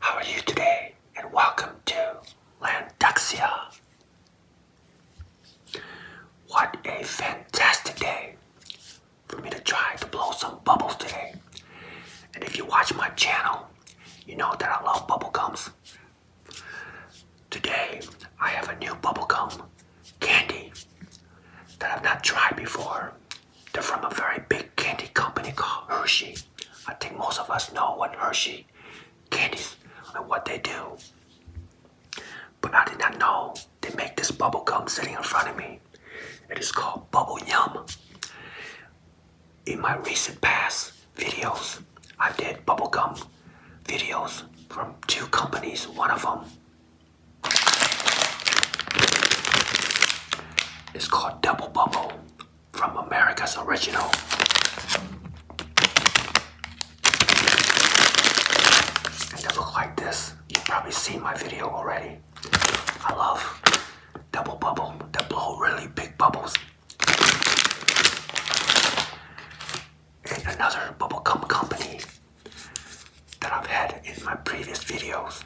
How are you today? And welcome to Landuxia. What a fantastic day for me to try to blow some bubbles today. And if you watch my channel, you know that I love bubblegums. Today, I have a new bubblegum candy that I've not tried before. They're from a very big candy company called Hershey. I think most of us know what Hershey candies and what they do. But I did not know they make this bubble gum sitting in front of me. It is called Bubble Yum in my recent past videos, I did bubblegum videos from two companies. One of them is called Double Bubble from America's Original. they look like this. You've probably seen my video already. I love double bubble that blow really big bubbles. And another bubblegum company that I've had in my previous videos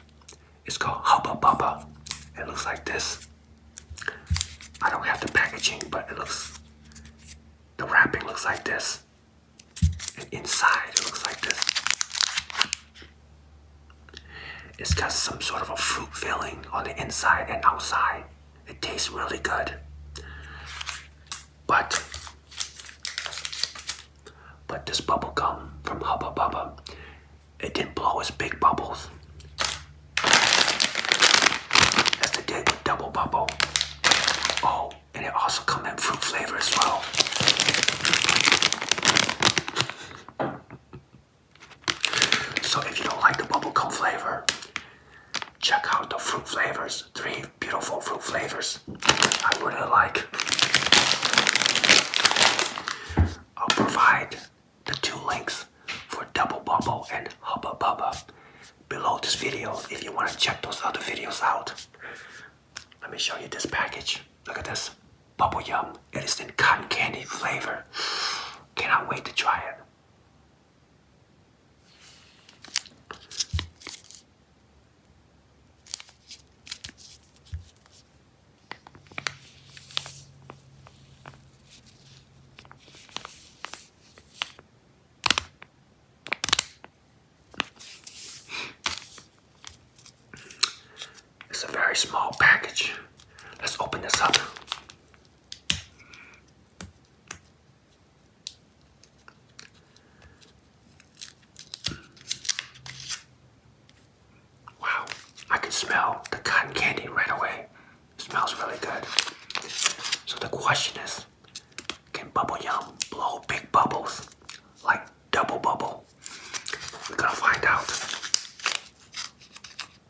is called Hubba Bubba. It looks like this. I don't have the packaging, but it looks, the wrapping looks like this. And inside, it looks like this. It's got some sort of a fruit filling on the inside and outside. It tastes really good. But but this bubble gum from Bubble Bubba, it didn't blow as big bubbles as it did Double Bubble. Oh, and it also come in fruit flavor as well. So if you don't like the bubble gum flavor, check out the fruit flavors. Three beautiful fruit flavors I really like. I'll provide the two links for Double Bubble and Hubba Bubba below this video if you want to check those other videos out. Let me show you this package. Look at this bubble yum. It is in cotton candy flavor. Cannot wait to try it. It's a very small package. Let's open this up. Wow, I can smell the cotton candy right away. smells really good. So the question is, can Bubble Yum blow big bubbles like double bubble? We're gonna find out.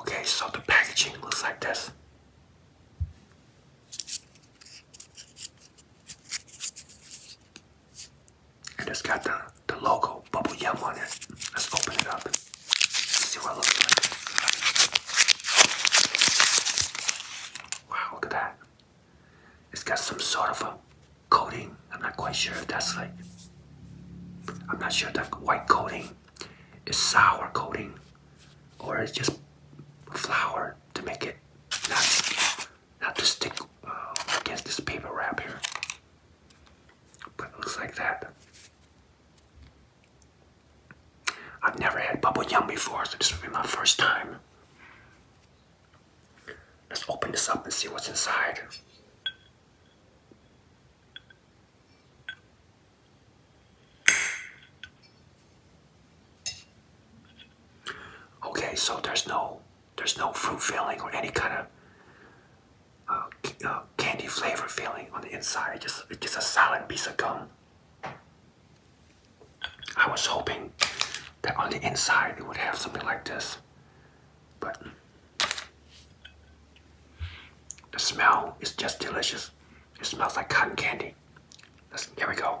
Okay, so the packaging looks like this. And it's got the, the logo, Bubble Yum, on it. Let's open it up. See what it looks like. Wow, look at that. It's got some sort of a coating. I'm not quite sure if that's like, I'm not sure that white coating is sour coating or it's just flour to make it not, not to stick uh, against this paper wrap here. But it looks like that. I've never had bubble yum before, so this will be my first time. Let's open this up and see what's inside. Okay, so there's no there's no fruit filling or any kind of a uh, uh, candy flavor feeling on the inside. Just it's just a solid piece of gum. I was hoping that on the inside it would have something like this, but the smell is just delicious. It smells like cotton candy. Let's, here we go.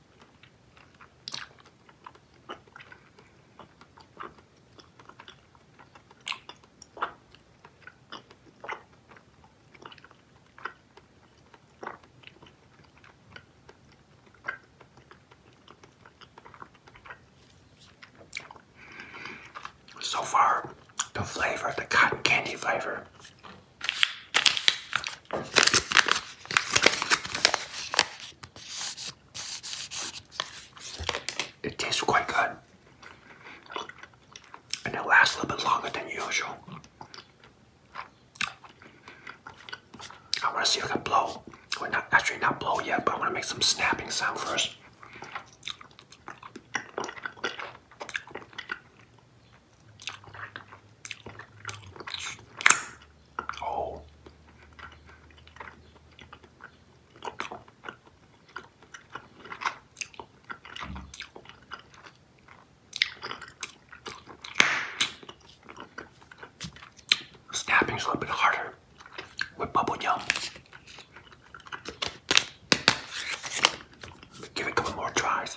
So far, the flavor, the cotton candy flavor, it tastes quite good. And it lasts a little bit longer than usual. I want to see if I can blow. Well, not actually not blow yet, but I want to make some snapping sound first. Oh. Snapping's a little bit harder with bubble gum. Give it a couple more tries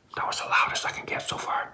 That was the loudest I can get so far.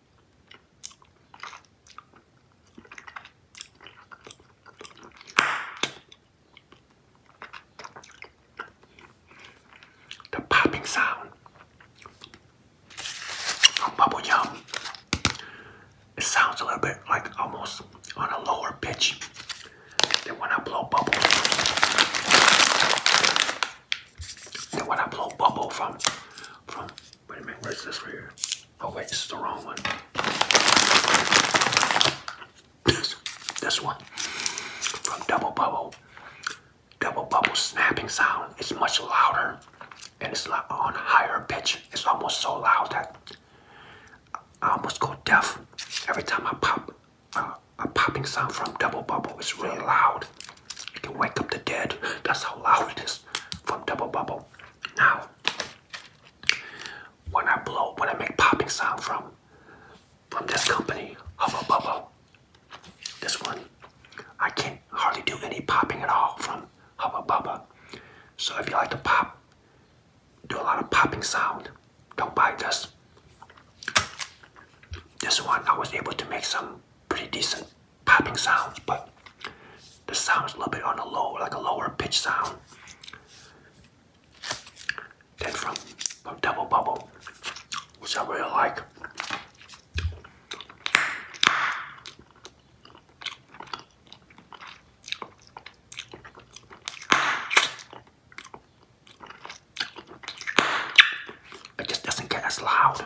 The popping sound of bubble gum. It sounds a little bit like almost on a lower pitch than when I blow bubbles. And when I blow bubble from, wait a minute, where's this right here? Oh wait, this is the wrong one. this one, from double bubble, double bubble snapping sound is much louder and it's on higher pitch. It's almost so loud that I almost go deaf every time I pop uh, a popping sound from double bubble. is really loud. I can wake up the dead. That's how loud it is from Double Bubble. Now, when I blow, when I make popping sound from from this company, Hubba Bubba, this one, I can hardly do any popping at all from Hubba Bubba. So if you like to pop, do a lot of popping sound, don't buy this. This one, I was able to make some pretty decent popping sounds, but the sound's a little bit on the low, like a lower pitch sound. Then from, from Double Bubble, which I really like. It just doesn't get as loud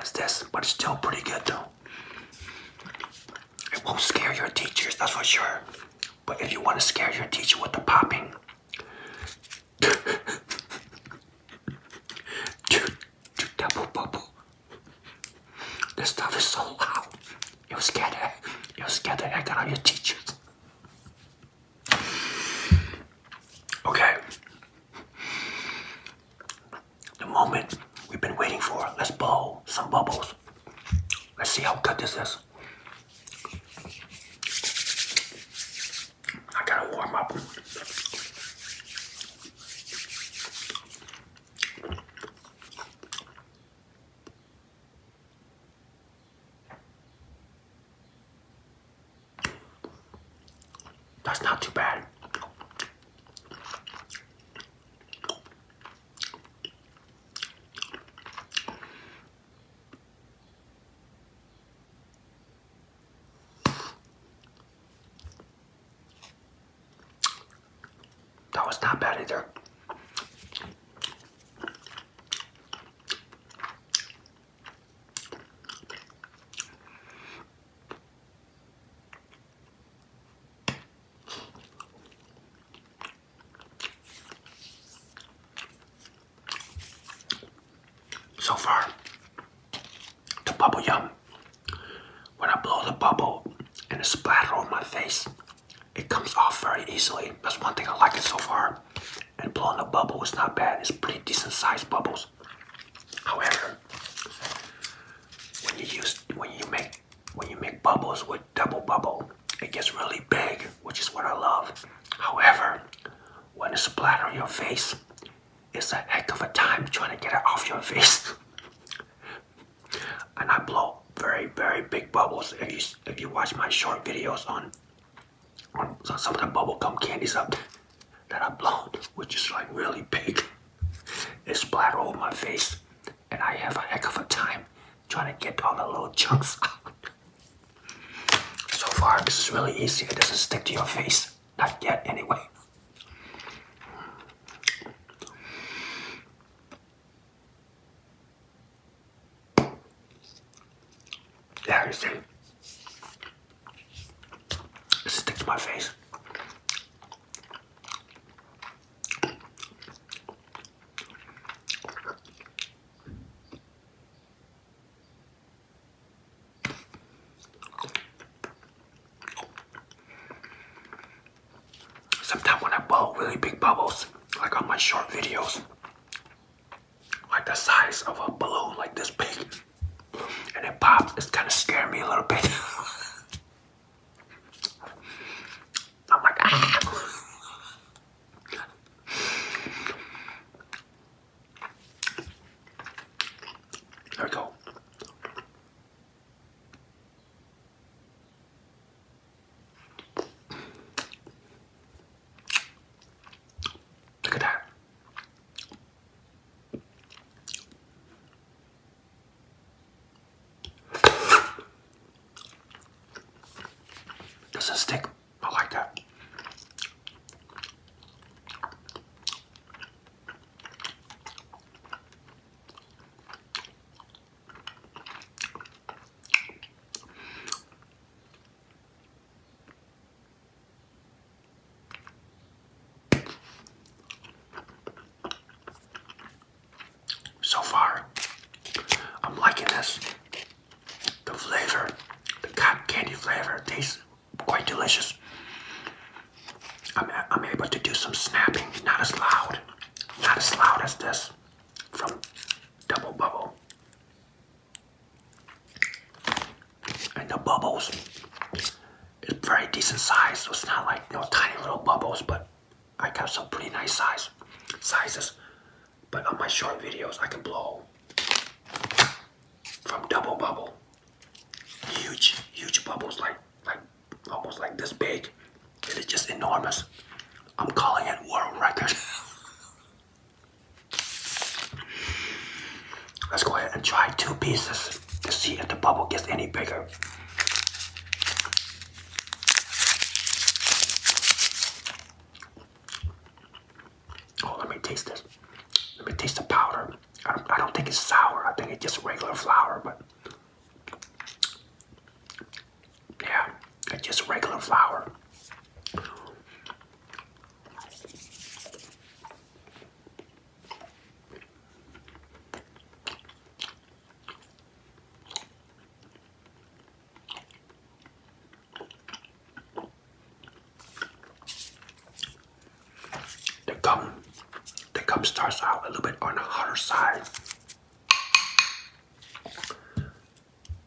as this, but it's still pretty good though. It won't scare your teachers, that's for sure. But if you want to scare your teacher with the popping, dude, dude, double bubble. This stuff is so loud. You'll scare the, you'll scare the heck out of your teachers. Okay. The moment we've been waiting for. Let's blow some bubbles. Let's see how good this is. I gotta warm up. That's not too bad. That was not bad either. So far, the bubble yum. When I blow the bubble and it splatters on my face, it comes off very easily. That's one thing I like it so far. And blowing the bubble is not bad. It's pretty decent sized bubbles. However, when you use when you make when you make bubbles with double bubble, it gets really big, which is what I love. However, when it's splat on your face, it's a heck of a time trying to get it off your face. and I blow very very big bubbles. If you if you watch my short videos on on some of the bubblegum candies up that I blowed, which is like really big. It splattered all my face, and I have a heck of a time trying to get all the little chunks out. So far, this is really easy. It doesn't stick to your face. Not yet, anyway. There stick to my face. Sometimes when I blow really big bubbles, I got my short videos, like the size of a balloon, like this big and it popped. It's kind of scaring me a little bit. I'm like, ah. There we go. Look at that. Doesn't stick. I like that. So far, I'm liking this. The flavor, the cotton candy flavor, tastes quite delicious. I'm, I'm able to do some snapping, not as loud, not as loud as this from Double Bubble and the bubbles it's very decent size so it's not like you know tiny little bubbles but I got some pretty nice size sizes but on my short videos I can blow from double bubble huge huge bubbles like like almost like this big it is just enormous I'm calling it world record Let's go ahead and try two pieces to see if the bubble gets any bigger. Oh, let me taste this. Let me taste the powder. I don't, think it's sour. I think it's just regular flour, but yeah, just regular flour. The gum, the gum starts out a little bit on the harder side,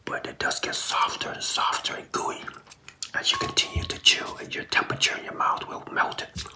but it does get softer and softer and gooey as you continue to chew, and your temperature in your mouth will melt it.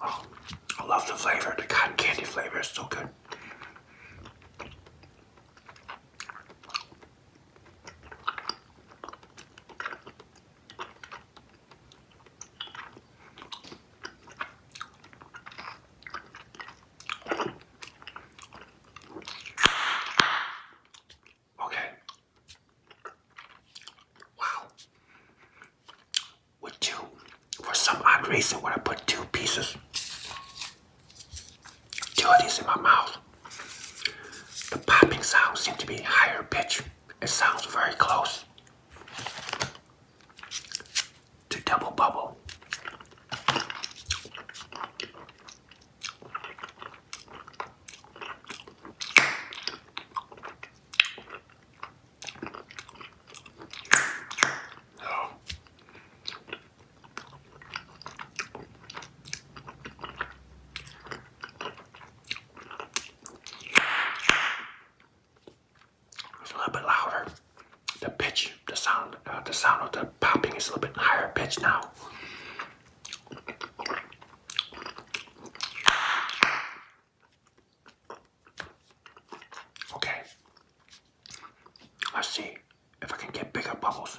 Oh, I love the flavor. The cotton candy flavor is so good. Okay. Wow. With two, for some odd reason, when I put two pieces, two of in my mouth, the popping sound seems to be higher pitch. It sounds very close to double bubble it's a little bit louder. The pitch, the sound, uh, the sound of the popping is a little bit higher pitch now. Okay. Let's see if I can get bigger bubbles.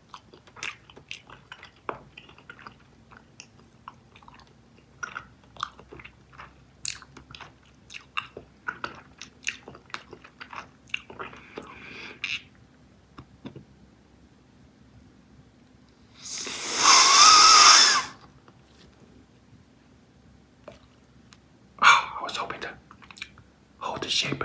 I was hoping to hold the shape.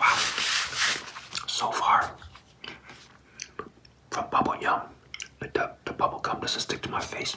Wow. So far, from bubble yum, the, the bubble gum doesn't stick to my face.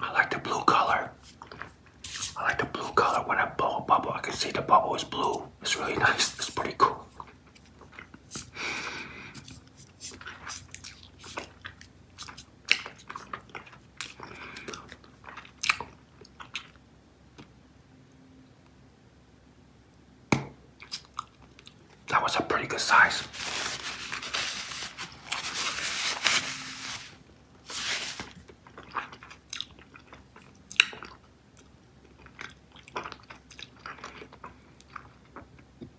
I like the blue color. I like the blue color when I blow a bubble. I can see the bubble is blue. It's really nice. It's pretty cool. That was a pretty good size.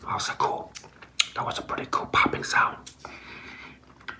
That was a cool, that was a pretty cool popping sound.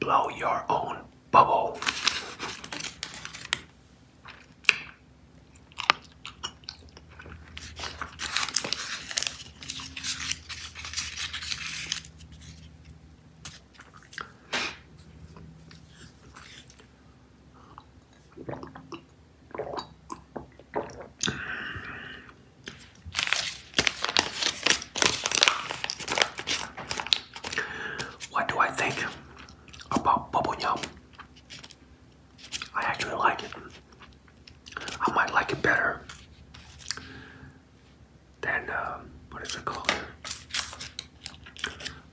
Blow your own bubble. What do I think about bubble yum? I actually like it. I might like it better than uh, what is it called?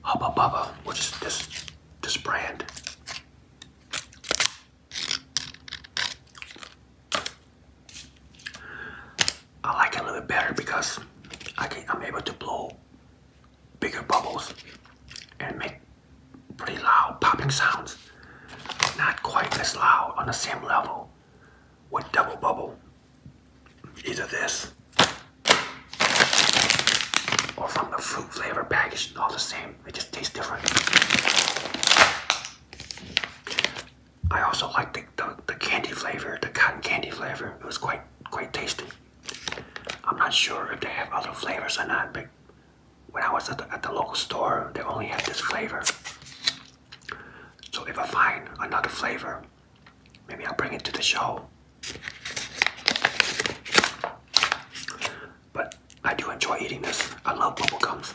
Hubba Bubba, which is this this brand. I like it a little bit better because I can, I'm able to blow bigger bubbles and make pretty loud popping sounds. Not quite as loud on the same level with double bubble. Either this or from the fruit flavor package, all the same. It just tastes different. I also like the, the, the candy flavor, the cotton candy flavor. It was quite quite tasty. I'm not sure if they have other flavors or not, but when I was at the, local store, they only had this flavor. So if I find another flavor, maybe I'll bring it to the show. But I do enjoy eating this. I love bubble gums.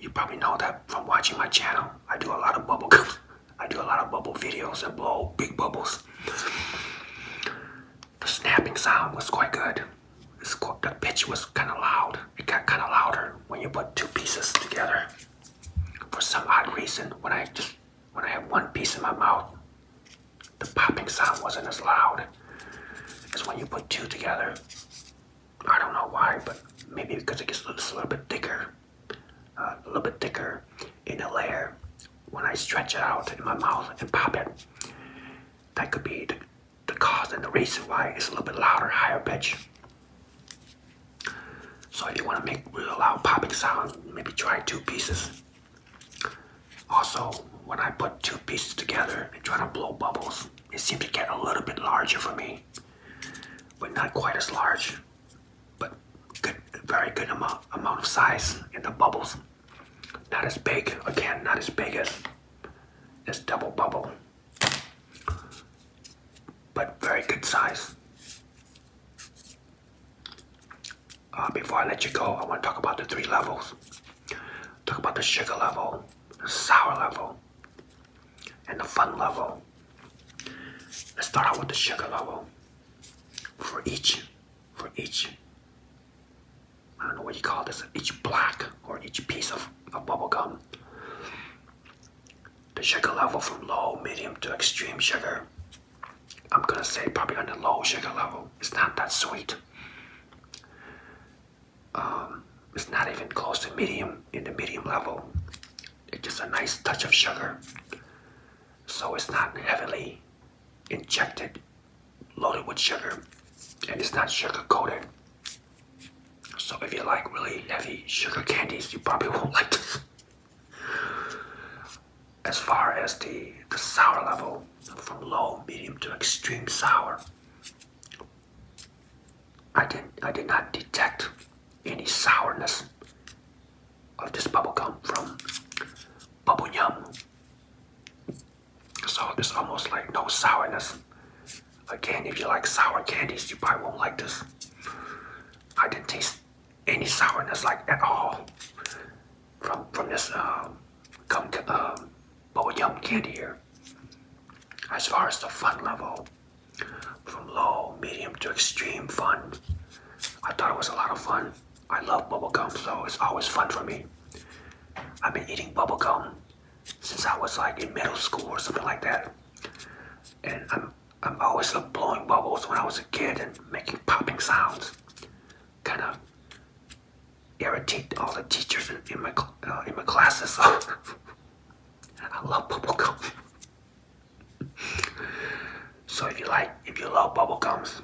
You probably know that from watching my channel. I do a lot of bubble gums. I do a lot of bubble videos and blow big bubbles the snapping sound was quite good. It's quite, the pitch was kind of loud. It got kind of louder when you put two pieces together. For some odd reason, when I just when I have one piece in my mouth, the popping sound wasn't as loud as when you put two together. I don't know why, but maybe because it gets a little, a little bit thicker, uh, a little bit thicker in a layer, when I stretch it out in my mouth and pop it. That could be the, the cause and the reason why it's a little bit louder, higher pitch. So if you want to make real loud popping sound, maybe try two pieces. Also, when I put two pieces together and try to blow bubbles, it seemed to get a little bit larger for me, but not quite as large. But good, very good amount amount of size in the bubbles. Not as big, again, not as big as this double bubble, but very good size. Uh, before I let you go, I want to talk about the three levels. Talk about the sugar level, the sour level, and the fun level. Let's start out with the sugar level. For each, for each I don't know what you call this, each black or each piece of, bubble gum. The sugar level from low, medium to extreme sugar. I'm gonna say probably on the low sugar level. It's not that sweet. Um, it's not even close to medium in the medium level. It's just a nice touch of sugar. So it's not heavily injected loaded with sugar and it's not sugar coated. So if you like really heavy sugar candies, you probably won't like this. As far as the, the sour level, from low, medium to extreme sour, I did I did not detect any sourness of this bubble gum from Bubble Yum so it's almost like no sourness. Again, if you like sour candies, you probably won't like this. I didn't taste any sourness like at all from from this um, gum um, yum candy here. As far as the fun level, from low, medium to extreme fun, I thought it was a lot of fun. I love bubblegum, so it's always fun for me. I've been eating bubblegum since I was like in middle school or something like that. And I'm, I'm always blowing bubbles when I was a kid and making popping sounds. Kind of irritate all the teachers in, my, uh, in my classes. So I love bubblegum. so if you like, if you love bubblegums,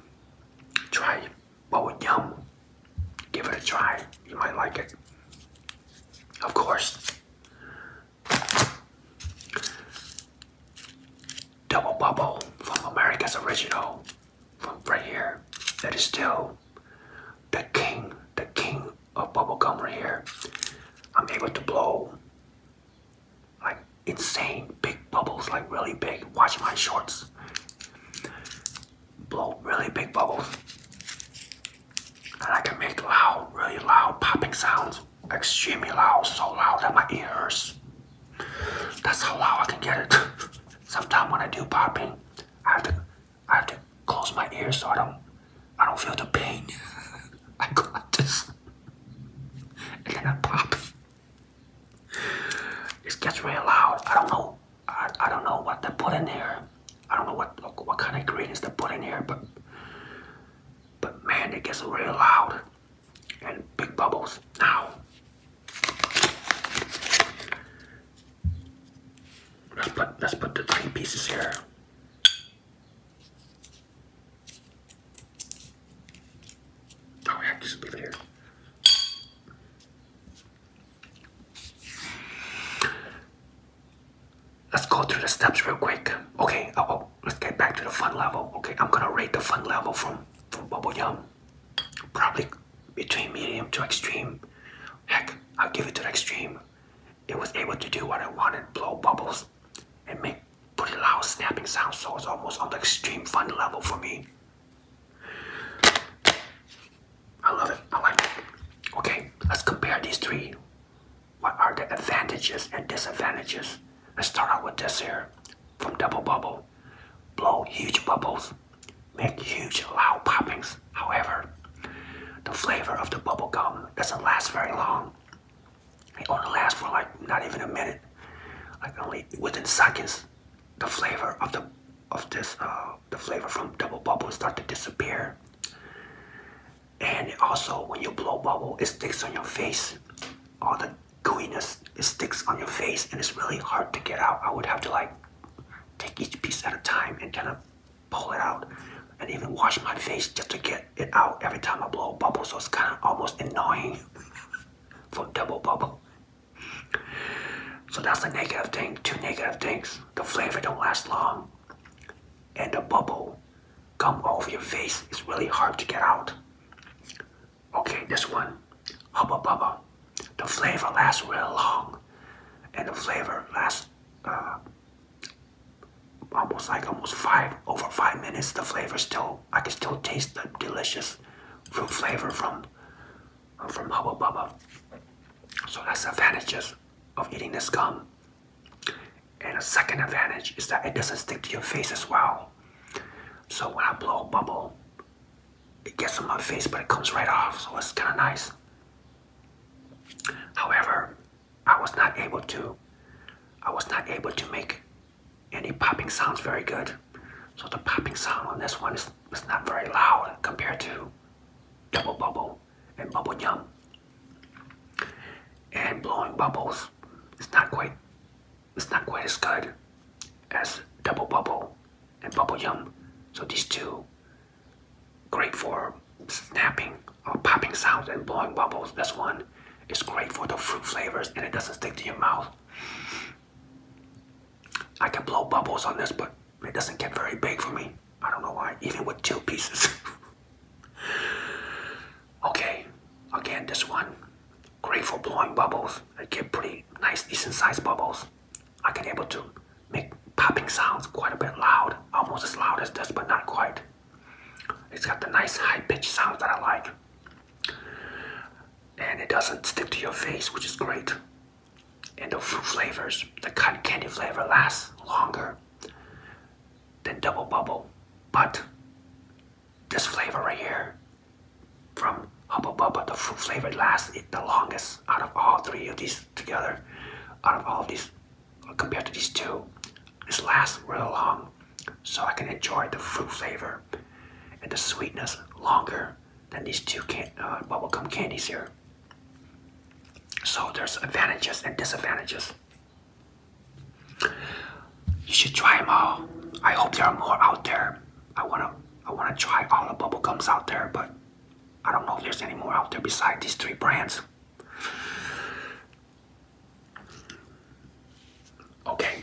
try but with yum. Give it a try. You might like it. Of course. Double Bubble from America's Original from right here. That is still the king, the king of bubblegum right here. I'm able to blow like insane big bubbles, like really big. Watch my shorts. Blow really big bubbles. And I can make loud, really loud popping sounds. Extremely loud, so loud that my ears. That's how loud I can get it. Sometimes when I do popping, I have to I have to close my ears so I don't I don't feel the pain. I go like this. And then I pop. It gets really loud. I don't know. I, don't know what they put in here. I don't know what what kind of ingredients they put in here, but but man, it gets really loud and big bubbles. Now, let's put let's put the three pieces here. Oh, yeah, just leave here. Let's go through the steps real quick. Okay, oh, let's get back to the fun level. Okay, I'm gonna rate the fun level from from Bubble Yum. Probably between medium to extreme. Heck, I'll give it to the extreme. It was able to do what I wanted, blow bubbles and make pretty loud snapping sounds, so it's almost on the extreme fun level for me. I love it. I like it. Okay, let's compare these three. What are the advantages and disadvantages? Let's start out with this here from Double Bubble. Blow huge bubbles, make huge loud poppings. However, the flavor of the bubble gum doesn't last very long. It only lasts for like not even a minute, like only within seconds the flavor of the of this uh, the flavor from double bubble start to disappear and also when you blow bubble it sticks on your face all the gooiness it sticks on your face and it's really hard to get out i would have to like take each piece at a time and kind of pull it out and even wash my face just to get it out every time i blow bubble so it's kind of almost annoying for double bubble so that's the negative thing, two negative things. The flavor don't last long and the bubble come off your face. It's really hard to get out. Okay, this one, bubble bubble, The flavor lasts real long and the flavor lasts uh, almost like almost five, over five minutes. The flavor still, I can still taste the delicious fruit flavor from from Bubble Bubba. So that's advantages of eating this gum. And a second advantage is that it doesn't stick to your face as well. So when I blow a bubble, it gets on my face but it comes right off, so it's kind of nice. However, I was not able to I was not able to make any popping sounds very good. So the popping sound on this one is, not very loud compared to double bubble and bubble yum. And blowing bubbles is not quite it's not quite as good as double bubble and bubble yum. So these two great for snapping or popping sounds and blowing bubbles. This one is great for the fruit flavors and it doesn't stick to your mouth. I can blow bubbles on this, but it doesn't get very big for me. I don't know why, even with two pieces. okay, again, this one. Great for blowing bubbles. I get pretty nice, decent sized bubbles. I can able to make popping sounds quite a bit loud, almost as loud as this, but not quite. It's got the nice high pitched sounds that I like and it doesn't stick to your face, which is great. And the fruit flavors, the cotton candy flavor lasts longer than Double Bubble. But this flavor right here from Hubba Bubba, the fruit flavor lasts it the longest out of all three of these together. Out of all these, compared to these two, this lasts real long. So I can enjoy the fruit flavor and the sweetness longer than these two can uh, bubblegum candies here. So there's advantages and disadvantages. You should try them all. I hope there are more out there. I wanna I wanna try all the bubblegums out there, but I don't know if there's any more out there besides these three brands. Okay.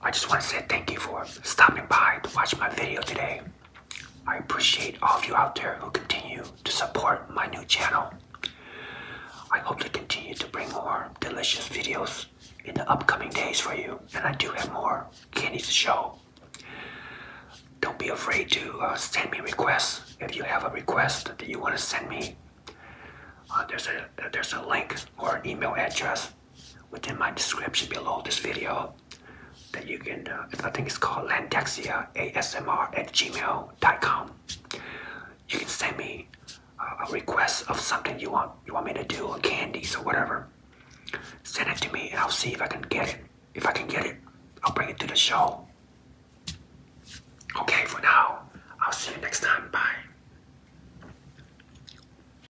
I just want to say thank you for stopping by to watch my video today. I appreciate all of you out there who continue to support my new channel. I hope to continue to bring more delicious videos in the upcoming days for you, and I do have more candies to show. Don't be afraid to uh, send me requests if you have a request that you want to send me. Uh, there's a there's a link or an email address within my description below this video that you can, uh, I think it's called Landexia ASMR at gmail.com. You can send me a request of something you want, you want me to do, or candies or whatever. Send it to me, and I'll see if I can get it. If I can get it, I'll bring it to the show. Okay, for now, I'll see you next time. Bye.